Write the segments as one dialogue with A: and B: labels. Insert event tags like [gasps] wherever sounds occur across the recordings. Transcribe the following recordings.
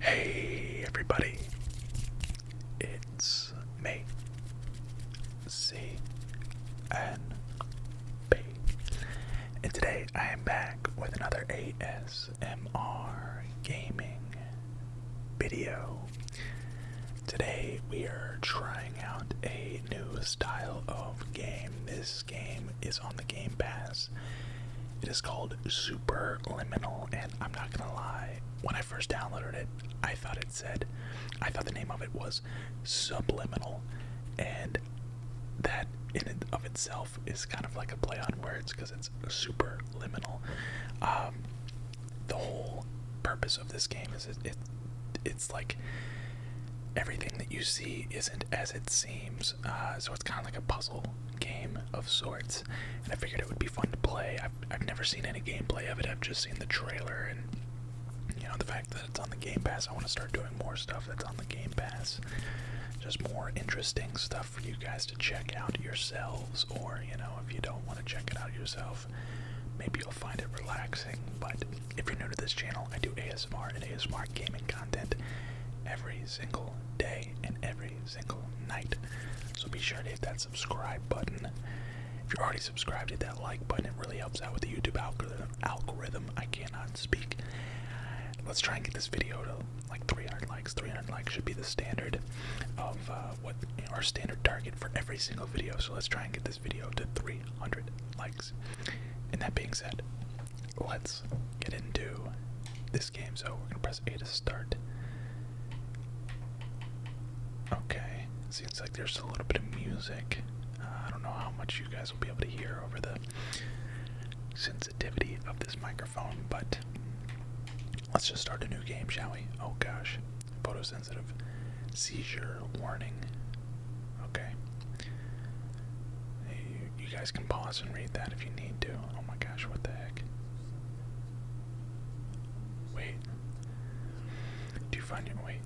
A: Hey everybody, it's me, C N B, and today I am back with another ASMR gaming video. Today we are trying out a new style of game. This game is on the Game Pass it is called Super Liminal, and I'm not gonna lie, when I first downloaded it, I thought it said, I thought the name of it was Subliminal, and that in and of itself is kind of like a play on words because it's super liminal. Um, the whole purpose of this game is it, it's like everything that you see isn't as it seems, uh, so it's kind of like a puzzle game of sorts, and I figured it would be fun to play. I've, I've never seen any gameplay of it, I've just seen the trailer, and you know, the fact that it's on the Game Pass, I want to start doing more stuff that's on the Game Pass. Just more interesting stuff for you guys to check out yourselves, or you know, if you don't want to check it out yourself, maybe you'll find it relaxing. But if you're new to this channel, I do ASMR and ASMR gaming content every single day and every single night. So be sure to hit that subscribe button. If you're already subscribed, hit that like button. It really helps out with the YouTube algorithm. Algorithm. I cannot speak. Let's try and get this video to like 300 likes. 300 likes should be the standard of uh, what our standard target for every single video. So let's try and get this video to 300 likes. And that being said, let's get into this game. So we're gonna press A to start. Okay, seems like there's a little bit of music. Uh, I don't know how much you guys will be able to hear over the sensitivity of this microphone, but let's just start a new game, shall we? Oh gosh, photosensitive seizure warning. Okay, you guys can pause and read that if you need to. Oh my gosh, what the heck? Wait. Do find your wait?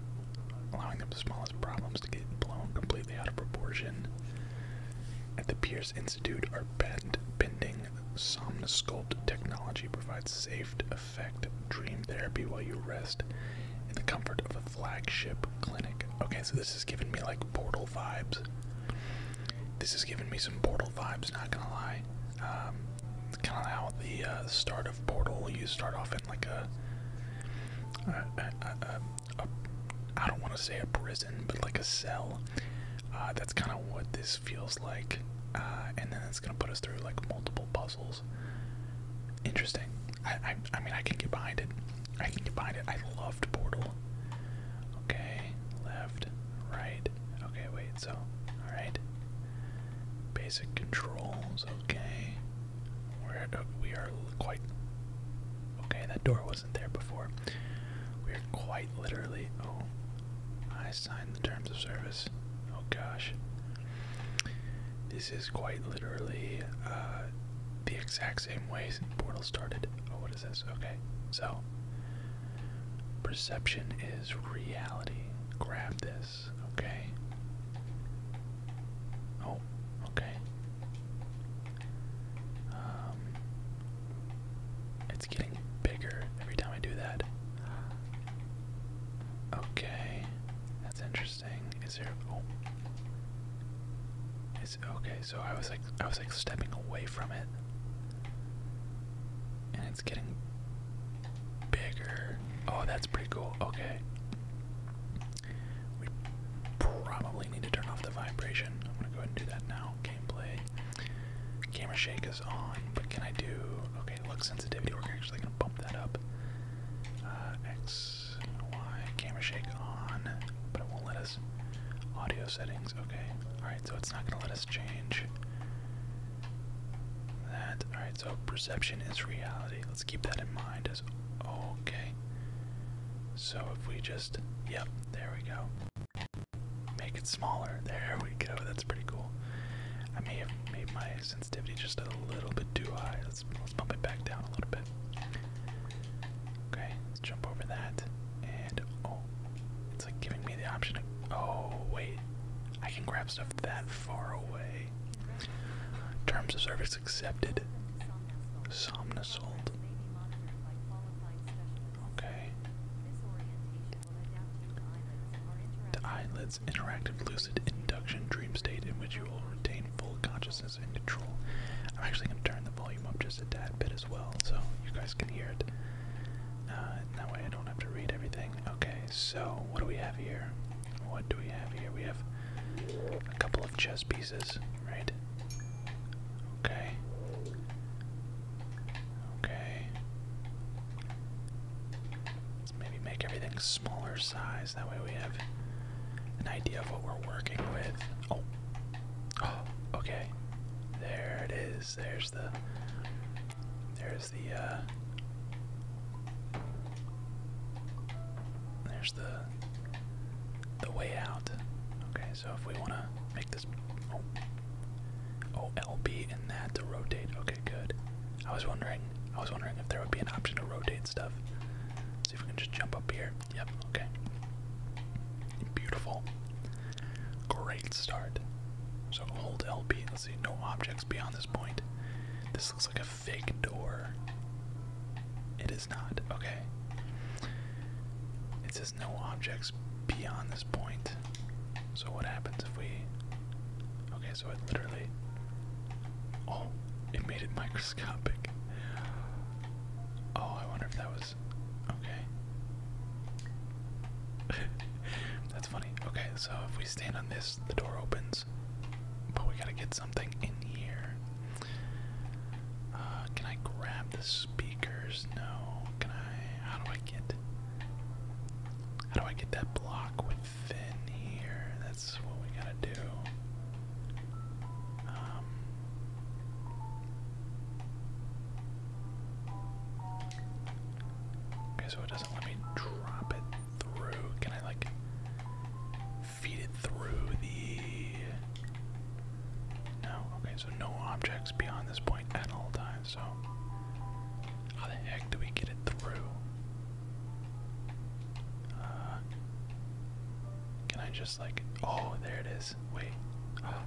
A: Allowing the smallest problems to get blown completely out of proportion. At the Pierce Institute, our patent bending somnosculpt technology provides safe effect dream therapy while you rest in the comfort of a flagship clinic. Okay, so this is giving me like Portal vibes. This is giving me some Portal vibes, not gonna lie. Um, kind of how the uh, start of Portal, you start off in like a, a, a, a, a I don't want to say a prison, but like a cell. Uh, that's kind of what this feels like, uh, and then it's gonna put us through like multiple puzzles. Interesting. I, I mean, I can get behind it. I can combine it. I loved Portal. Okay, left, right. Okay, wait, so, alright. Basic controls, okay. We're, uh, we are quite. Okay, that door wasn't there before. We are quite literally. Oh, I signed the terms of service. Oh gosh. This is quite literally uh, the exact same way Portal
B: started. Oh,
A: what Okay, so perception is reality. Grab this, okay? Oh, okay. Um, it's getting bigger every time I do that.
B: Okay, that's interesting. Is there? Oh. Okay, so I was like I was like stepping away from
A: it. And it's getting bigger. Oh, that's pretty cool. Okay. We probably need to turn off the vibration. I'm gonna go ahead and do that now. Gameplay. Camera shake is on, but can I do okay, look sensitivity, we're actually gonna bump that up. Uh, X X, Y, camera shake on, but it won't let us. Audio settings, okay. Alright, so it's not gonna let us change that. Alright, so perception is reality. Let's keep that in mind as Oh, okay. So if we just, yep, there we go. Make
B: it smaller. [laughs] There we go. That's pretty cool. I may have made my sensitivity just a
A: little bit too high. Let's let's bump it back down a little bit. Okay, Let's jump over that. And oh, it's like giving me the option. To, oh, wait. I can grab stuff that far away. Terms of service accepted. Somnasult. Okay. The eyelids interactive lucid induction dream state in which you will retain full consciousness is in control. I'm actually going to turn the volume up just a tad bit as well so you guys can hear it. Uh, that way I don't have to read everything. Okay, so what do we have here? What do we have here? We have a couple of chess pieces, right? Okay. Okay. Let's maybe make everything smaller size. That way we have an idea of what we're working with. Oh. Oh, [gasps] okay. There it is. There's the there's the uh there's the the way out. Okay, so if we wanna make this oh, oh LB and that to rotate. Okay, good. I was wondering I was wondering if there would be an option to rotate stuff. See if we can just jump up here. Yep, okay. Beautiful. Great start. So hold LB. Let's see, no objects beyond this point. This looks like a fake door. It is not. Okay. It says no objects beyond this point. So what happens if we. Okay, so it literally. Oh, it made it microscopic. Oh, I wonder if that was okay. [laughs] That's funny. Okay, so if we stand on this, the door opens. But we gotta get something in here. Uh, can I grab the speakers? No. Can I? How do I get? How do I get that block within here? That's what we gotta do. Um, Okay, so it doesn't let me drop it through. Can I, like, feed it through the. No, okay, so no objects beyond this point at all times, so. How the heck do we get it through? Uh, can I just like, oh, there it is. Wait, oh,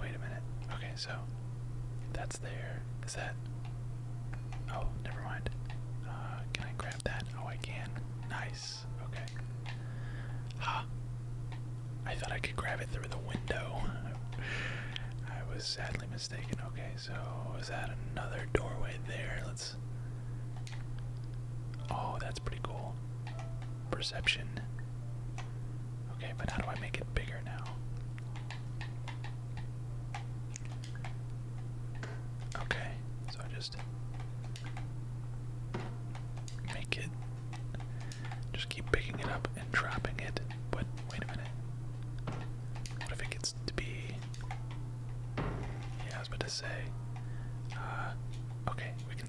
A: wait a minute. Okay, so that's there. Is that, oh, never mind. Uh, can I grab that? Oh, I can. Nice, okay. Huh. I thought I could grab it through the window. I was sadly mistaken. Okay, so is that another doorway there? Let's Oh, that's pretty cool. Perception. Okay, but how do I make it bigger now? Okay, so I just make it. Just keep picking it up and dropping it. But wait a minute. What if it gets to be. Yeah, I was about to say. Uh, okay, we can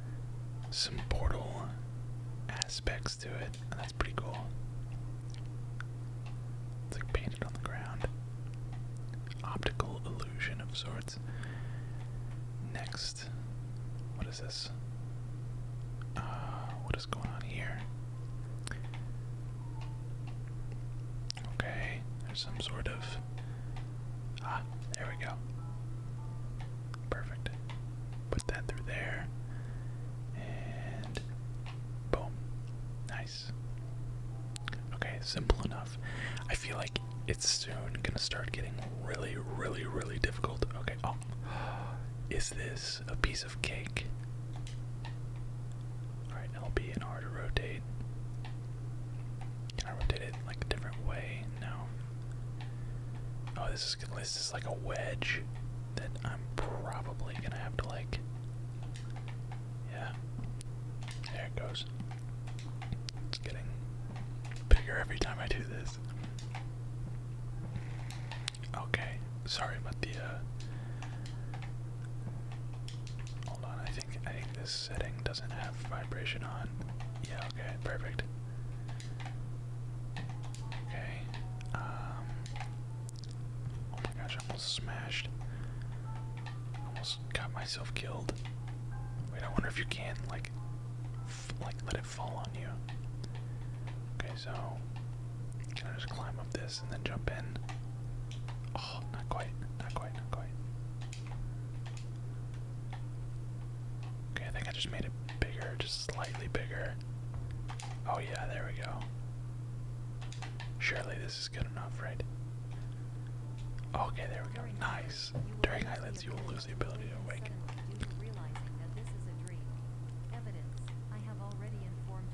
A: some portal aspects to it, and that's pretty cool. It's like painted on the ground. Optical illusion of sorts. Next, what is this? Uh, what is going on here? Okay, there's some sort of. Ah, there we go. Perfect. Put that through there. And boom. Nice. Okay, simple enough. I feel like it's soon gonna start getting really, really, really difficult. Okay, oh. [gasps] Is this a piece of cake? Alright, LB and R to rotate. Can I rotate it like a different way? No, Oh, this is gonna this is like a wedge that I'm probably gonna have to like Yeah. There it goes. It's getting bigger every time I do this. Okay, sorry about the uh, Hold on, I think I think this setting doesn't have vibration on. Yeah, okay, perfect. Okay. Um. Oh my gosh! I almost smashed. Almost got myself killed. Wait, I wonder if you can like, like let it fall on you. Okay, so can I just climb up this and then jump in? Oh, not quite, not quite, not quite. Okay, I think I just made it bigger, just slightly bigger. Oh yeah, there we go. Surely this is good enough, right? Okay, there we go. Nice. During eyelids, you will lose the ability to awaken.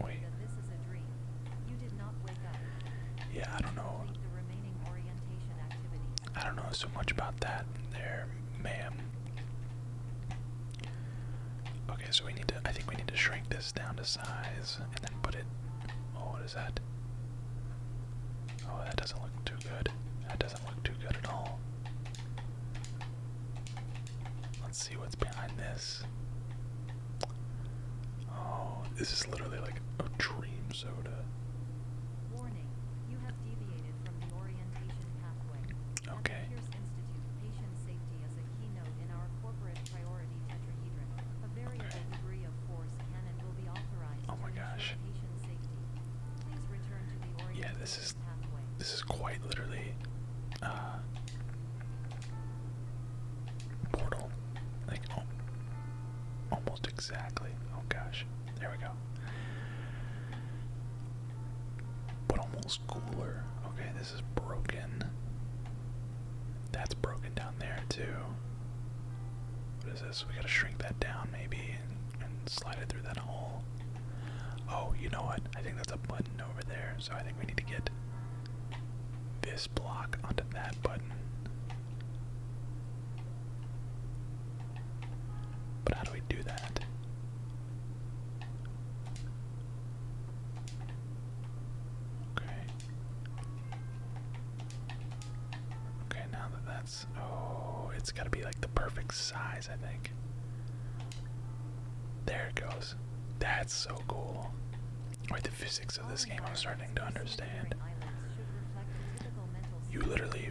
A: Wait. Yeah, I don't know. I don't know so much about that. There, ma'am. Okay, so we need to. I think we need to shrink this down to size and then put it. Oh, what is that? Oh, that doesn't look too good. That doesn't look too good at all. Let's see what's behind this. Oh, this is literally like a dream soda. Warning, you have
B: deviated the Okay. patient safety is a keynote in our corporate priority tetrahedron. A variable okay. degree of force can and will be authorized oh my to gosh. patient safety.
A: yeah, this is, This is quite literally uh portal. Like almost exactly. Oh gosh. There we go. But almost cooler. Okay, this is broken. That's broken down there too. What is this? We gotta shrink that down maybe and, slide it through that hole. Oh, you know what? I think that's a button over there, so I think we need to get this block onto that button. But how do we do that? Okay. Okay, now that that's. Oh, it's gotta be like the perfect size, I think. There it goes. That's so cool. Wait, the physics of this game I'm starting to understand.
B: You literally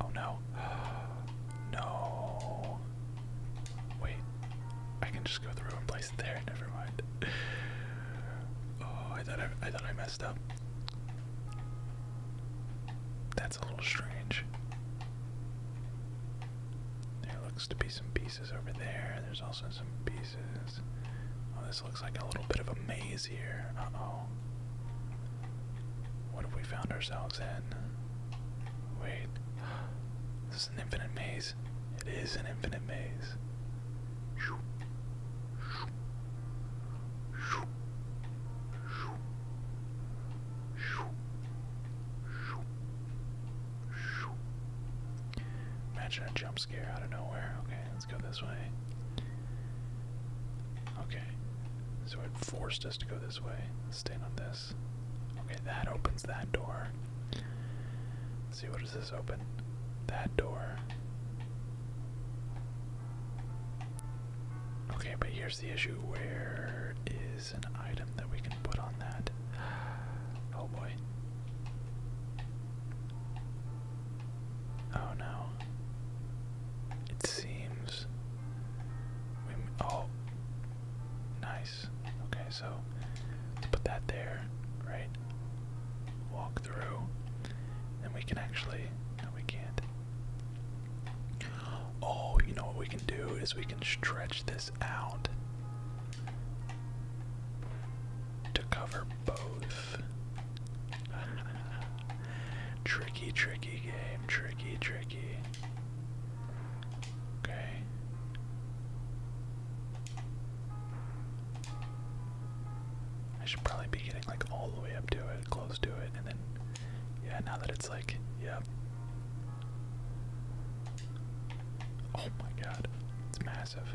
A: Oh no. [gasps] no. Wait. I can just go through and place it there. Never mind. [sighs] Oh, I thought I, I thought I messed up. That's a little strange. There looks to be some pieces over there. There's also some pieces. Oh, this looks like a little bit of a maze here. Uh oh.
B: What have we found ourselves in? Wait. This is an infinite maze. It is an infinite maze.
A: Imagine a jump scare out of nowhere. Okay, let's go this way. Okay. So it forced us to go this way. let stand on this. Okay, that opens that door. see what does this open? That door. Okay, but here's the issue. Where is an item that we can put on that? [gasps] Oh boy. Oh no. It seems. We, oh, nice. Okay, so put that there, right? Walk through, and we can actually. No, we can't. Oh, you know what we can do is we can stretch this out to cover both. [laughs] tricky, tricky game. Tricky, tricky. Okay. I should probably be getting like all the way up to it, close to it, and then, yeah, now that it's like, yep. Oh my god, it's massive.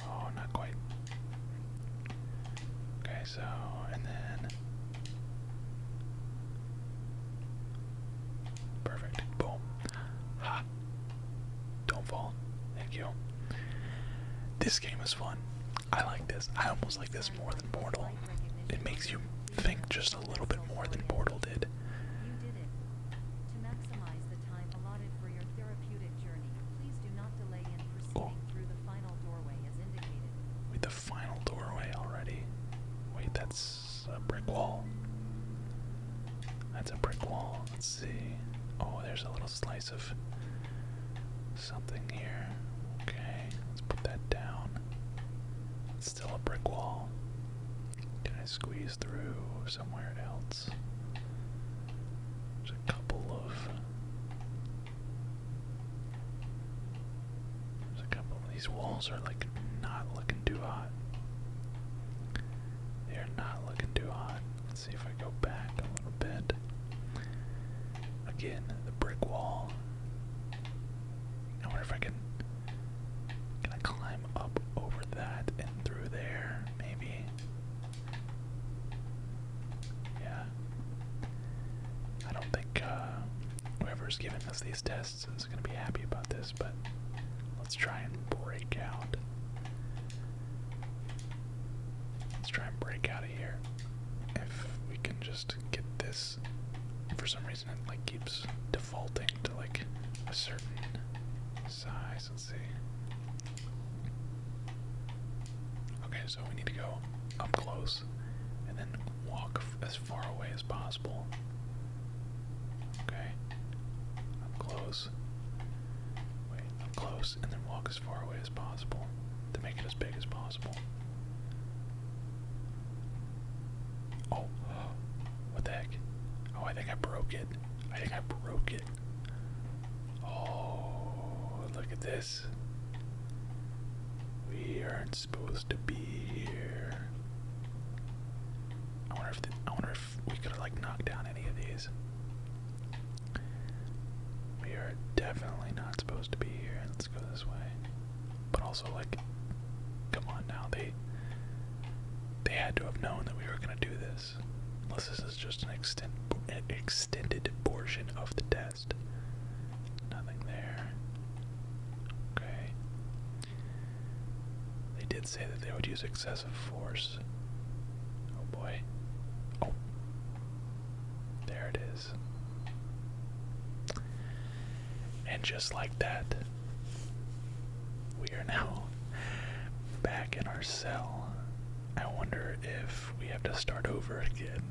A: Oh, not quite. Okay, so, and then. Perfect. Boom. Ha! Don't fall. Thank you. This game is fun. I like this. I almost like this more than Portal. It makes you think just a little bit more than Portal did.
B: Please do not delay in proceeding oh. through the final doorway as indicated. Wait, the final doorway already? Wait, that's a brick wall. That's a brick wall. Let's see.
A: Oh, there's a little slice of something here. Okay, let's put that down. still a brick wall. Can I squeeze through somewhere else? There's a couple of there's a couple of these walls are like not looking too hot. They are not looking too hot. Let's see if I go back a little bit. Again, the brick wall. I wonder if I can can I climb up over that and through there, maybe. Yeah. I don't think uh, whoever's giving us these tests is going to be happy about this, but let's try and break out. Let's try and break out of here. If we can just get this, for some reason it like keeps defaulting to like a certain size. Let's see. Okay, so we need to go up close and then walk as far away as possible. Okay, up close. Wait, up close and then walk as far away as possible to make it as big as possible. Oh, [gasps] what the heck? Oh, I think I broke it. I think I broke it. Oh, look at this. We aren't supposed to be here. I wonder if I wonder if we could have like knocked down any of these. We are definitely not supposed to be here. Let's go this way.
B: But also like, come on now, they they had to have known that we were gonna do this
A: unless this is just an, an extended portion of the test. Nothing there. Okay. They did say that they would use excessive force. Oh boy. Oh. There it is. And just like that, we are now back in our cell. I wonder if we have to start over again.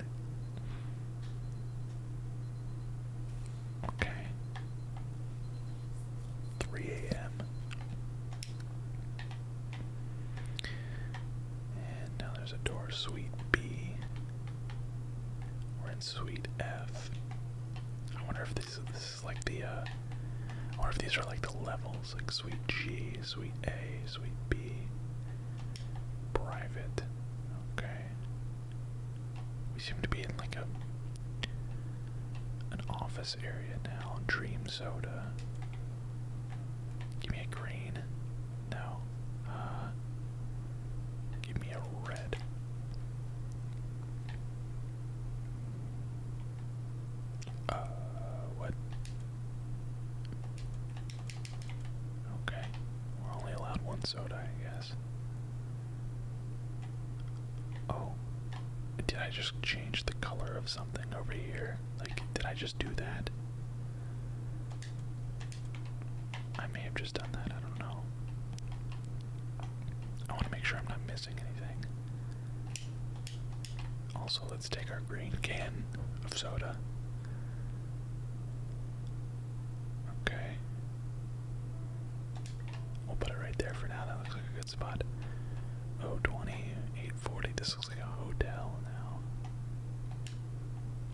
A: Okay. 3 a.m. And now there's a door, Suite B. We're in Suite F. I wonder if these, this like the, uh, I wonder if these are like the levels like Sweet G, Sweet A, Sweet B, Private. Okay. We seem to be in like a an office area now. Dream soda. Give me a green. No. Uh, give me a red. Uh, what? Okay, we're only allowed one soda, I guess. Oh, did I just change the color of something over here? Like, did I just do that? I may have just done that, I don't know. I want to make sure I'm not missing anything. Also, let's take our green can of soda. Okay. We'll put it right there for now. That looks like a good spot. Oh, 20, 840. This looks like a hotel now.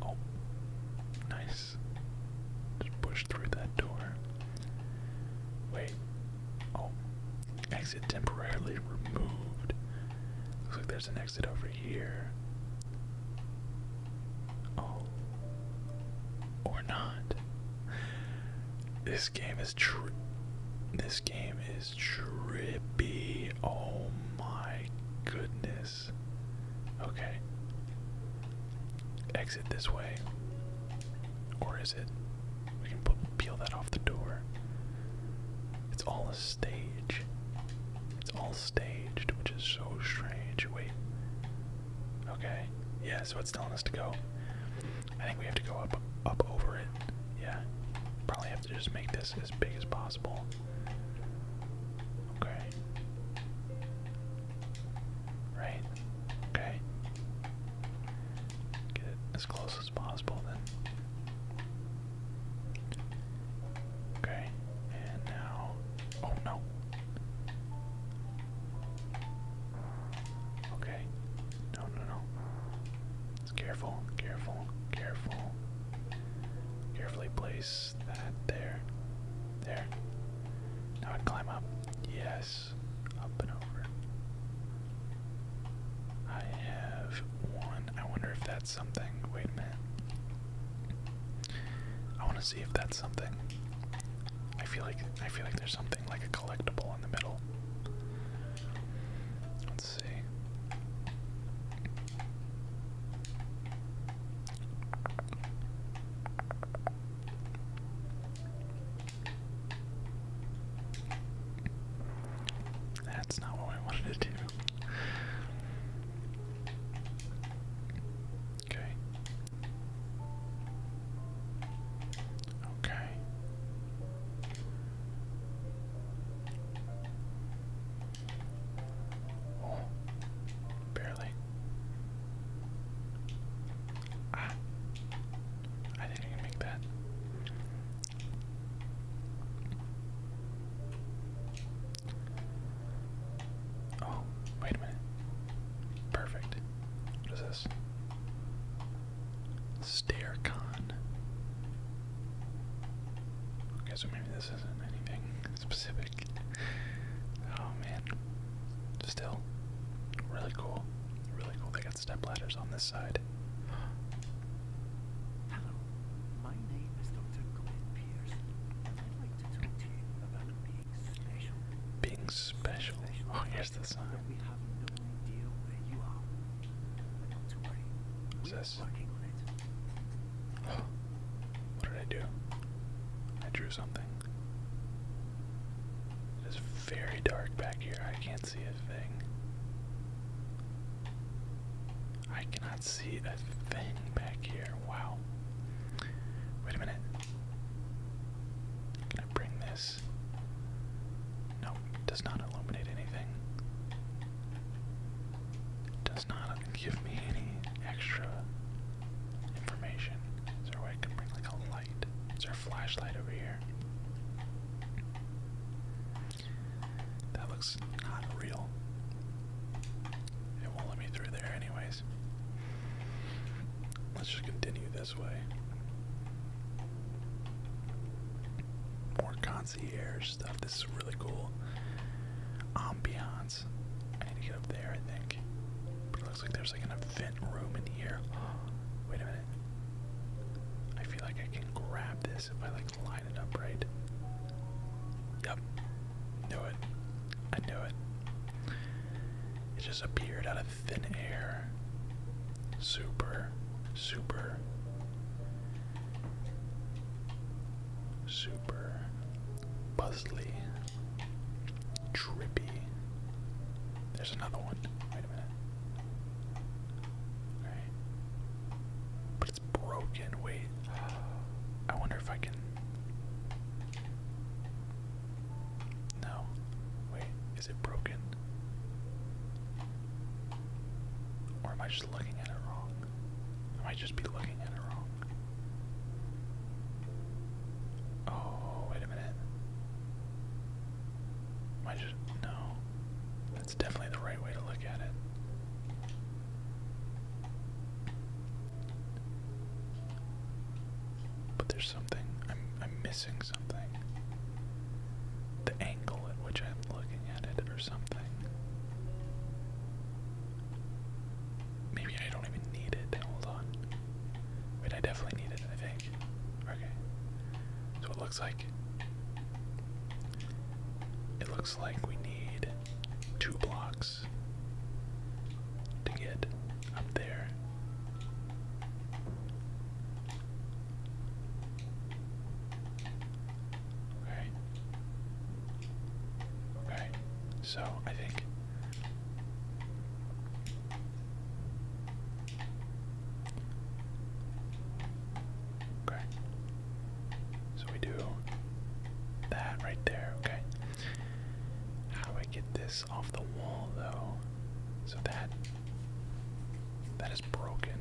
A: Oh, nice. Just push through that door. Wait. Oh, Exit temporarily removed. Looks like there's an exit over here. Oh. Or not. This game is tri This game is trippy. Oh my goodness. Okay. Exit this way. Or is it? We can peel that off the door. It's all a stage. It's all staged, which is so strange. Wait. Okay. Yeah, so it's telling us to go. I think we have to go up up over it. Yeah. Probably have to just make this as big as possible. Okay. Right. Okay. Get it as close is possible then. Okay, and now. Oh no! Okay. No, no, no. It's careful, careful, careful. Carefully place that there. There. Now I climb up. Yes. Up and over. I have one. I wonder if that's something. Wait a minute. I want to see if that's something. I feel like I feel like there's something like a collectible in the middle. Let's see. That's not what we wanted to do. Okay. Okay. Oh, barely. Ah, I didn't even make that. Oh, wait a minute. Perfect. What is this? Staircon. Okay, so maybe this isn't anything [laughs] specific. Oh man. Still, really cool. Really cool. They step ladders on this side. being special. Oh, here's the sign. What's this? [gasps] what did I do? I drew something. It is very dark back here. I can't cannot see a thing. I cannot see a thing back here. Wow. Wait a minute. Can I bring this? Nope, does not illuminate anything. Does not give me any extra information. Is I can bring like a light? Is there a flashlight over here? That looks not real. It won't let me through there, anyways. Let's just continue this way. More concierge stuff. This is really cool. Ambiance. I need to get up there, I think. But it looks like there's like an event room in here.
B: [gasps] Wait a minute. I feel like I can grab this if I like line it
A: up right. Yep. Knew it. I knew it. It just appeared out of thin air. Super, super, super puzzly, trippy. There's another one. Wait a minute. Alright. But it's broken. Wait. I wonder if I can. No. Wait, is it broken? Or am I just looking at it wrong? I might just be looking at it wrong. Oh, wait a minute. I just. No. That's definitely the right way to look at it. But there's something I'm I'm missing something. The angle at which I'm looking at it or something. Maybe I don't even need it. Hold on. Wait, I definitely need it, I think. Okay. So it looks like it looks like we need two blocks to get up there. Right. Right. So I think Okay. So we do that right there, okay. How do I get this off the wall though? So that that is broken.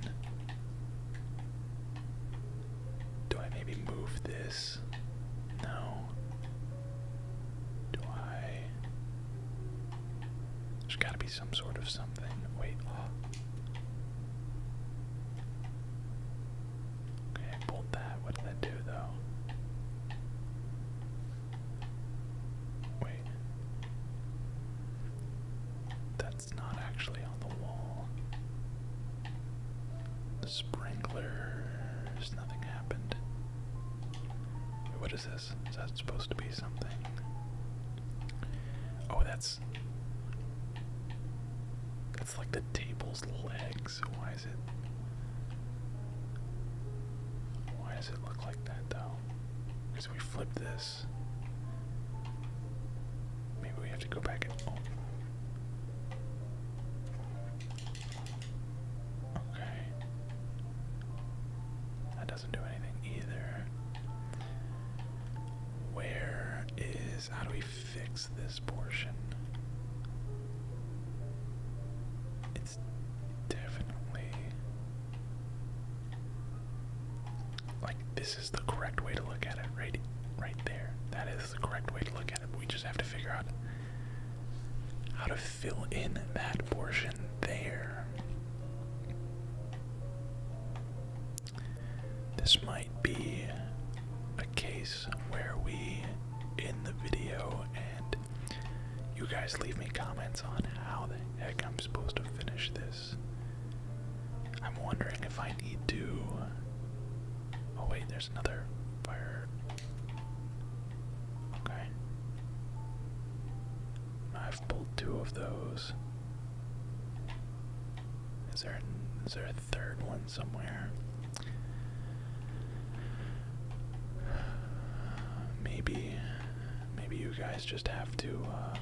A: Do I maybe move this? No. Do I? There's got to be some sort of something. Wait. Oh. Okay, I that. What did that do, though? Wait. That's not actually on the wall. The sprinklers. Nothing happened. what is this? Is that supposed to be something? Oh, that's that's like the table's legs. Why is it? Why does it look like that though? Because we flip this. Maybe we have to go back and. Oh. Okay. That doesn't do anything either. Where is. How do we fix this portion? It's definitely. Like, this is the correct way to look at it, right? Right there. That is the correct way to look at it. We just have to figure out how to fill in that portion there. This might be a case where we in the video and you guys leave me comments on how the heck I'm supposed to finish this. I'm wondering if I need to. Oh, wait, there's another fire. Okay. I uh, i two of those. Is there is there a third one somewhere? Maybe maybe you guys just have to uh,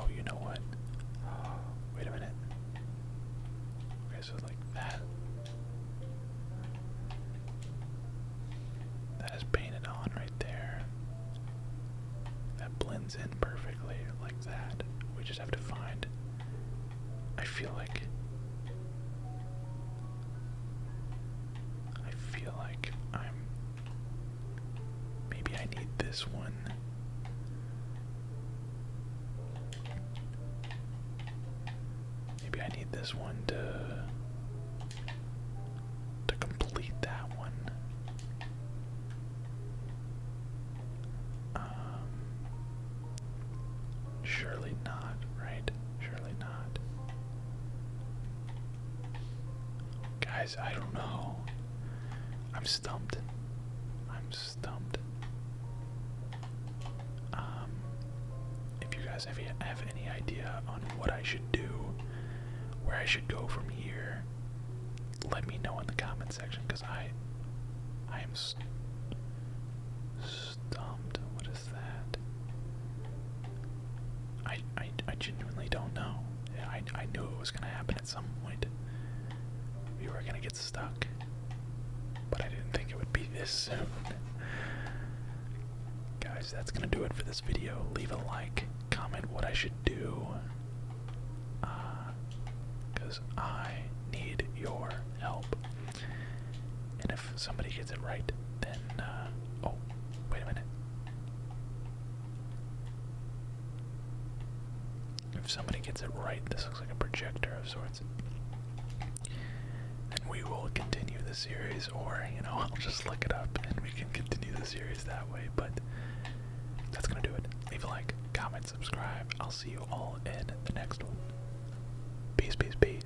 A: Oh, you know what? Wait a minute. Okay, so like that. That is painted on right there. That blends in perfectly like that. We just have to find. I feel like. I feel like I'm. Maybe I need this one. Maybe I need this one to to complete that one. Um, surely not, right? Surely not. Guys, I don't know. I'm stumped. I'm stumped. Um, if you guys have, have any idea on what I should do where I should go from here, let me know in the comment section because I, I am stumped. What is that? I, I, I genuinely don't know. I, I knew it was gonna happen at some point. We were gonna get stuck, but I didn't think it would be this soon. [laughs] Guys, that's gonna do it for this video. Leave a like comment what I should do because uh, I need your help. And if somebody gets it right, then uh, oh, wait a minute. If somebody gets it right, this looks like a projector of sorts. And we will continue the series, or you know, [laughs] I'll just look it up and we can continue the series that way. But that's gonna do it. Leave a like, comment, subscribe.
B: I'll see you all in the next one. Peace, peace, peace.